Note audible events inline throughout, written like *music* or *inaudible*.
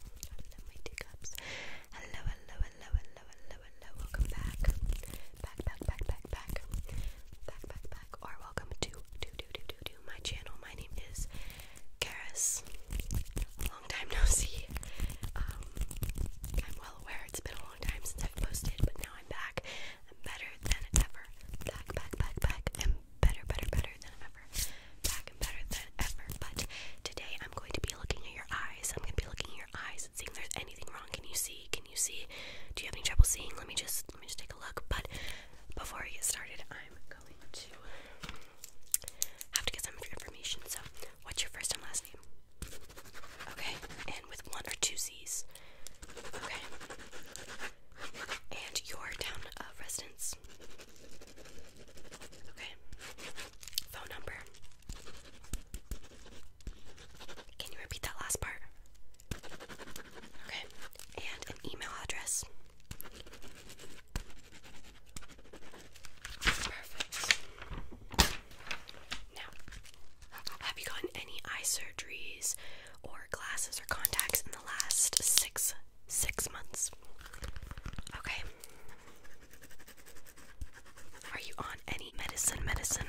Hello, my teacups. Hello, hello, hello, hello, hello, hello. Welcome back. Back, back, back, back, back. Back, back, Or welcome to, to, to, to, to, to my channel. My name is Karis. Long time no see. Um, I'm well aware it's been a long time since I've posted, but now I'm back. I'm better than ever. Back, back, back, back. I'm better, better, better than ever. Back and better than ever. But today I'm going to be looking at your eyes. I'm going to be looking at your eyes and seeing if there's anything wrong. Can you see? Can you see? Do you have any trouble seeing? Let me just let me just take a look. But before we get started, I'm going to have to get some information. So, what's your first and last name? Okay, and with one or two Z's. Okay. And your town of residence. Okay. Phone number. Can you repeat that last part? Okay. And an email address. Perfect. Now, have you gotten any eye surgeries or glasses or contacts in the last six six months? Okay. Are you on any medicine? Medicine?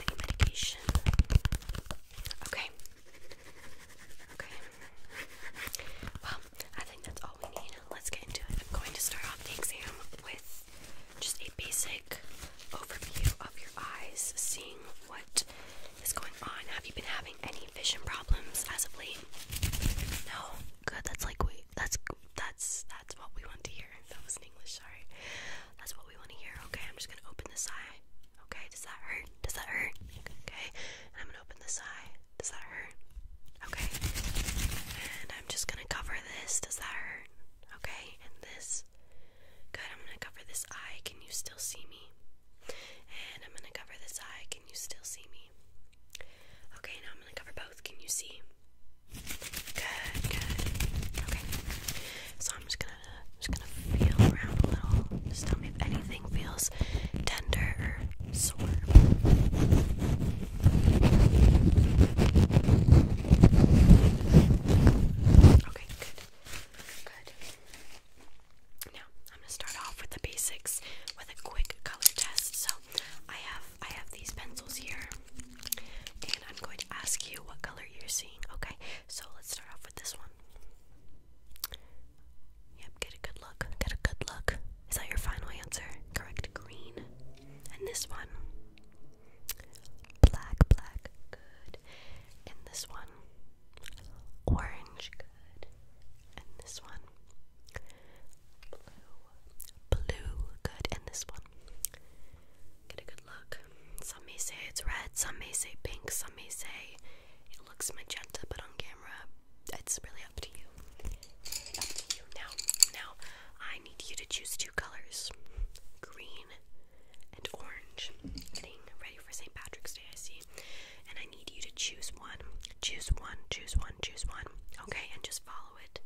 Any medication? Okay. Okay. Well, I think that's all we need. Let's get into it. I'm going to start off the exam with just a basic overview of your eyes, seeing what is going on. Have you been having any vision problems as of late? No. Good. That's like we. That's that's that's what we want to hear. That was in English. Sorry. That's what we want to hear. Okay. I'm just gonna open this eye. Okay. Does that hurt? Does that hurt? Okay. I'm gonna open this eye. Does that hurt? Okay. And I'm just gonna cover this. Does that hurt? Okay. And this. Good. I'm gonna cover this eye. Can you still see me? And I'm gonna cover this eye. Can you still see me? Okay, now I'm going to cover both. Can you see? Good, good. Okay. So I'm just gonna just gonna feel around a little. Just tell me if anything feels tender or sore. Okay, good. Good. Now I'm gonna start off with the basics with a quick color test. So I have I have these pencils here, and I'm going to ask you what color you're seeing. Okay, so let's start off with this one. Yep, get a good look. Get a good look. Is that your final answer? Correct, green. And this one, black, black. Good. And this one, orange. Good good. And this one. Blue. Blue, good. And this one. Get a good look. Some may say it's red, some may say pink, some may say it looks magenta, but on camera, it's really up to you. Up to you. Now, now, I need you to choose two colors green and orange. Getting ready for St. Patrick's Day, I see and I need you to choose one. Choose one, choose one, choose one. Okay, and just follow it.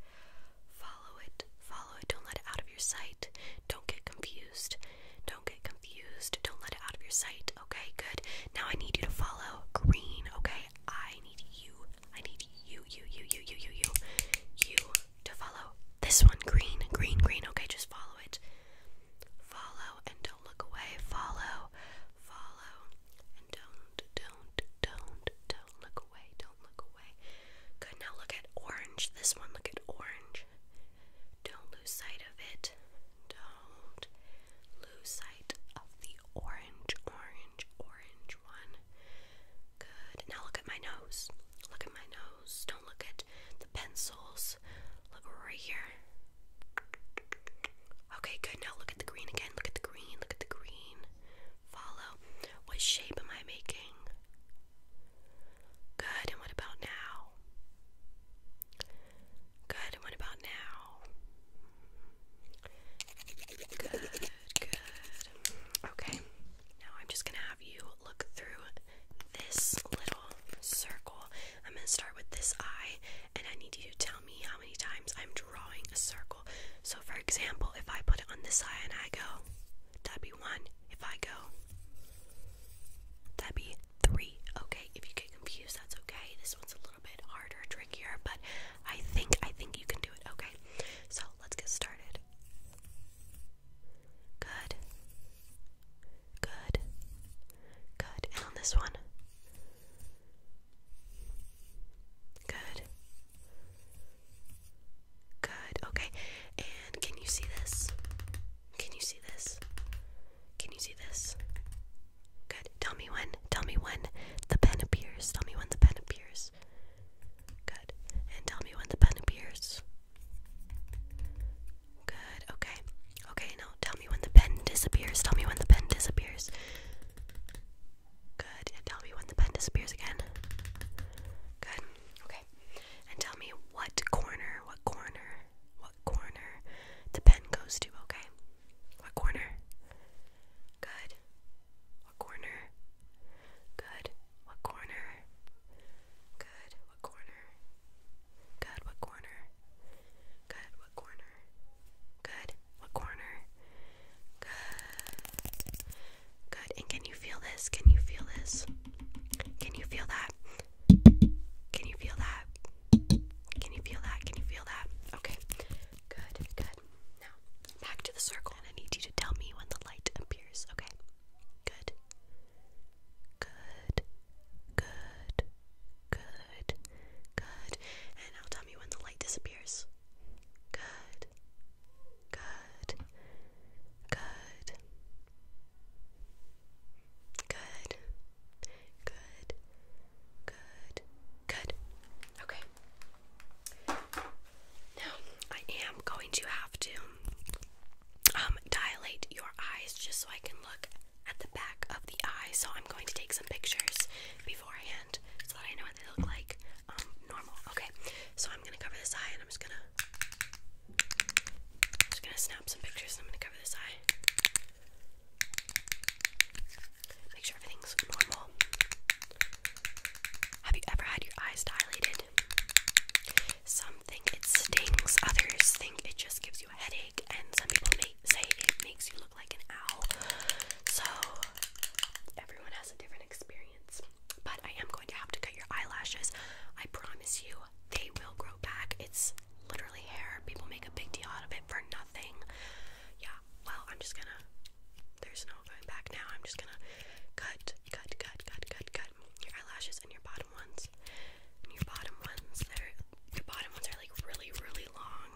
Follow it, follow it. Don't let it out of your sight. Don't get confused. Don't get confused. Don't let it out of your sight. Okay, good. Now I need you to follow green, okay? I need you. I need you, you, you, you, you, you, you, you to follow this one. Green, green, green. Okay, just follow it. Follow and don't look away. Follow, follow don't, don't, don't, don't look away. Don't look away. Good. Now look at orange. This one, look at orange. Don't lose sight of it. Don't lose sight of the orange, orange, orange one. Good. Now look at my nose. Look at my nose. Don't look at the pencils. Look right here. Okay, good. Now look at the green again. Look at the green. Look at the green. Follow. What shape am I making? Good. And what about now? Good. And what about now? Good. Good. Okay. Now I'm just going to have you look through this little circle I'm going to start with this eye, and I need you to tell me how many times I'm drawing a circle. So, for example, if I put it on this eye and I go, that'd be one. If I go, that'd be three. Okay, if you get confused, that's okay. This one's a little bit harder, trickier, but I think I think you can do it. Okay, so let's get started. Good. Good. Good. And on this one. Good. Good. Okay. And can you see this? Can you see this? Can you see this? Good. Tell me when. Tell me when the pen appears. Tell me when the pen appears. Good. And tell me when the pen appears. Good. Okay. Okay, now tell me when the pen disappears. Tell me when the pen disappears. Good. tell me when the pen disappears again. Good. Okay. And tell me what corner, what corner, what corner the pen goes to, okay? What corner? Good. What corner? Good. What corner? Good. What corner? Good. What corner? Good. What corner? Good. What corner? Good. Good. And can you feel this? Can you feel this? Can you feel that? Can you feel that? Can you feel that? Can you feel that? Okay. Good. Good. Now, back to the circle. And I need you to tell me when the light appears. Okay. Good. Good. Good. Good. Good. And now tell me when the light disappears. Good. Good. Good. Good. Good. Good. Good. Okay. Now I am going to have to um, dilate your eyes just so I can look at the back of the eye. So I'm going to take some pictures beforehand so that I know what they look like. Um, normal. Okay. So I'm gonna cover this eye and I'm just gonna just gonna snap some pictures I'm gonna cover this eye. Make sure everything's normal. Have you ever had your eyes dilated? Some think it stings, others think it just gives you a headache, and some people say it makes you look like an owl. So everyone has a different experience. But I am going to have to cut your eyelashes. I promise you, they will grow back. It's literally hair. People make a big deal out of it for nothing. Yeah. Well, I'm just gonna. There's no going back now. I'm just gonna cut, cut, cut, cut, cut, cut your eyelashes and your bottom ones. your bottom ones. There, your bottom ones are like really, really long.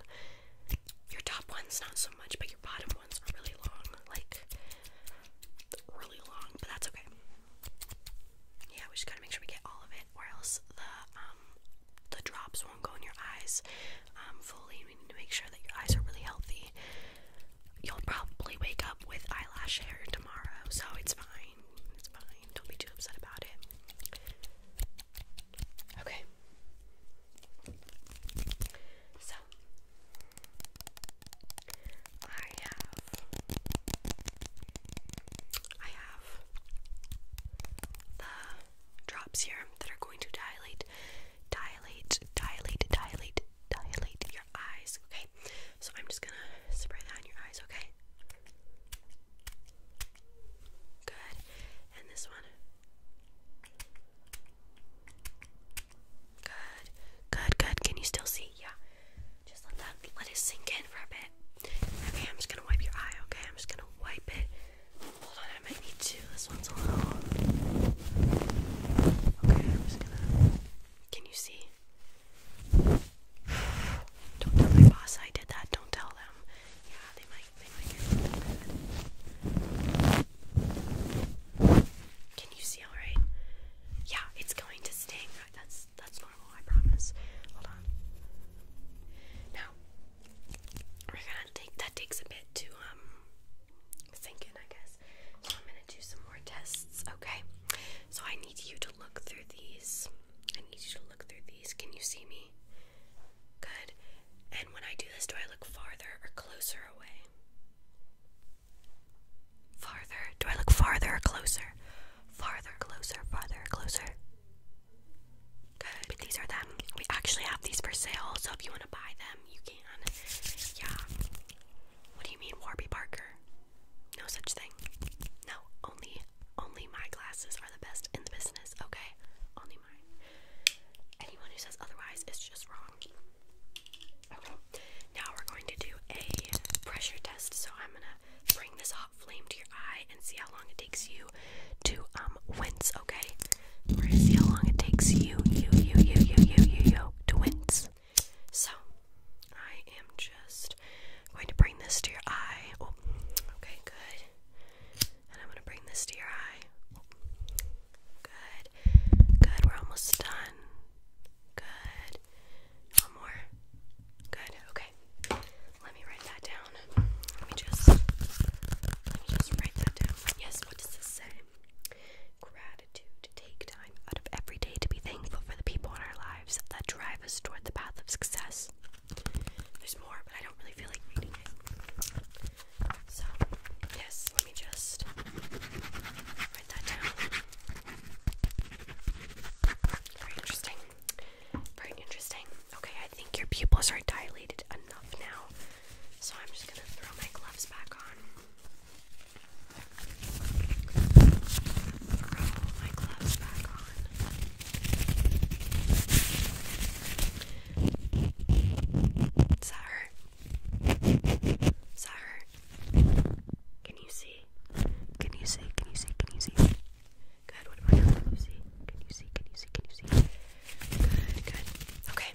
Your top ones not so much, but your bottom ones are really long. Like really long, but that's okay. Yeah, we just gotta make sure we get all of it, or else the um the drops won't go in your eyes um fully. We need to make sure that your eyes are really healthy. You'll probably wake up with eyelash hair tomorrow, so it's fine. It's fine. Don't be too upset about it. Okay. So I have I have the drops here that are going to dilate, dilate, dilate, dilate, dilate your eyes. Okay. So I'm just gonna spray that on your eyes, okay? Good. And this one. Good. Good, good. Can you still see? Yeah. Just let that let it sink in for a bit. Okay, I'm just gonna wipe your eye, okay? I'm just gonna wipe it. Hold on, I might need to. This one's a little Okay, I'm just gonna Can you see? *sighs* Don't tell my boss I did that. Don't tell them. Yeah, they might can you see all right? Yeah, it's going to sting. That's that's normal. I promise. Hold on. Now we're gonna take that takes a bit to um sink in, I guess. So I'm gonna do some more tests. Okay. So I need you to look through these. I need you to look through these. Can you see me? Good. And when I do this, do I look farther or closer away? Farther. Do I look farther or closer? Farther, closer, farther, closer. Good. These are them. We actually have these for sale, so if you want to buy them, you can. Yeah. What do you mean, Warby Parker? No such thing. No, only only my glasses are the best in the business, okay? Only Anyone who says otherwise is just wrong. Okay, now we're going to do a pressure test. So I'm gonna bring this hot flame to your eye and see how long it takes you to um wince. Okay, we're gonna see how long it takes you, you, you, you, you, you, you, you to wince. So I am just going to bring this to your eye. Oh, okay, good. And I'm gonna bring this to your eye. Good. Good. We're almost done. Good. One more. Good. Okay. Let me write that down. Let me just let me just write that down. Yes, what does this say? Gratitude. Take time out of every day to be thankful for the people in our lives that drive us toward the path of success. There's more, but I don't really feel like reading it. So, yes, let me just write that down. Very interesting. Very interesting. Okay, I think your pupils are dilated enough now. So I'm just gonna throw my gloves back on. Throw my gloves back on. Does that hurt? Does that hurt? Can you see? Can you see? Can you see? Can you see? Good. What about now? Can you see? Can you see? Can you see? Can you see? Good. Good. Okay.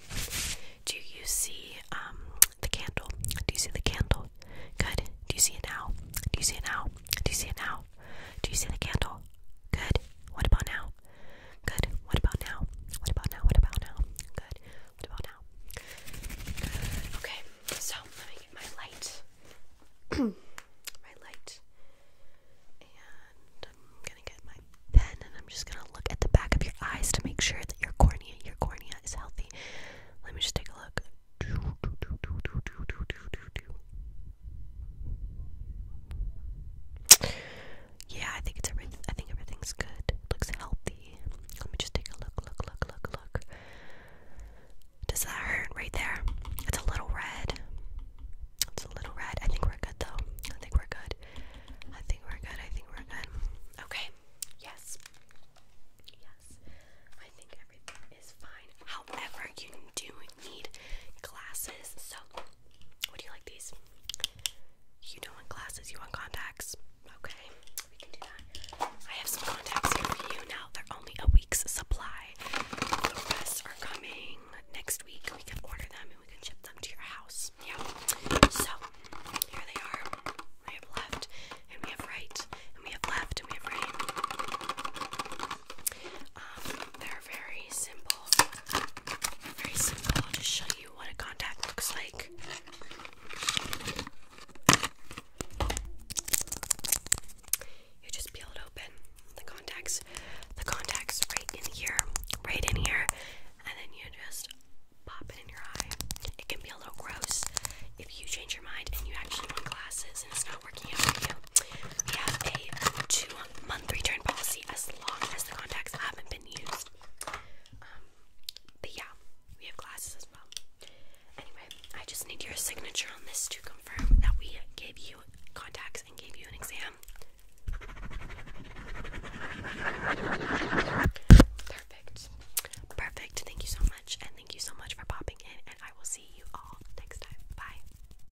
Do you see um the candle? Do you see the candle? Good. Do you see it now? Do you see it now? Do you see it now? Do you see the candle? Good. What about now? Good. What about now? What about now? What about now? Good. What about now? Okay. So let me get my light. *clears throat* my light. And I'm gonna get my pen and I'm just gonna look at the back of your eyes to make sure that your cornea, your cornea is healthy. Let me just take a look. Yeah, I think it's everything. I think everything's good. Looks healthy. Let me just take a look, look, look, look, look. Does that hurt right there? It's a little red. It's a little red. I think we're good though. I think we're good. I think we're good. I think we're good. Okay. Yes. Yes. I think everything is fine. However, you do need glasses. So, would you like these? You don't want glasses, you want contacts. Okay, I have some contacts here for you now. They're only a week's supply. The rest are coming next week. We can order them and we can ship them to your house. Yeah. So, here they are. I have left, and we have right, and we have left, and we have right. Um, they're very simple. Very simple. I'll just show you what a contact looks like. You just peel it open. The contacts, the contacts, right in here, right in here, and then you just pop it in your eye. It can be a little gross if you change your mind and you actually want glasses we have a two month return policy as long as the contacts haven't been used. Um, but yeah, we have glasses as well. Anyway, I just need your signature on this to confirm that we gave you contacts and gave you an exam. Perfect. Perfect. Thank you so much, and thank you so much for popping in, and I will see you all next time. Bye.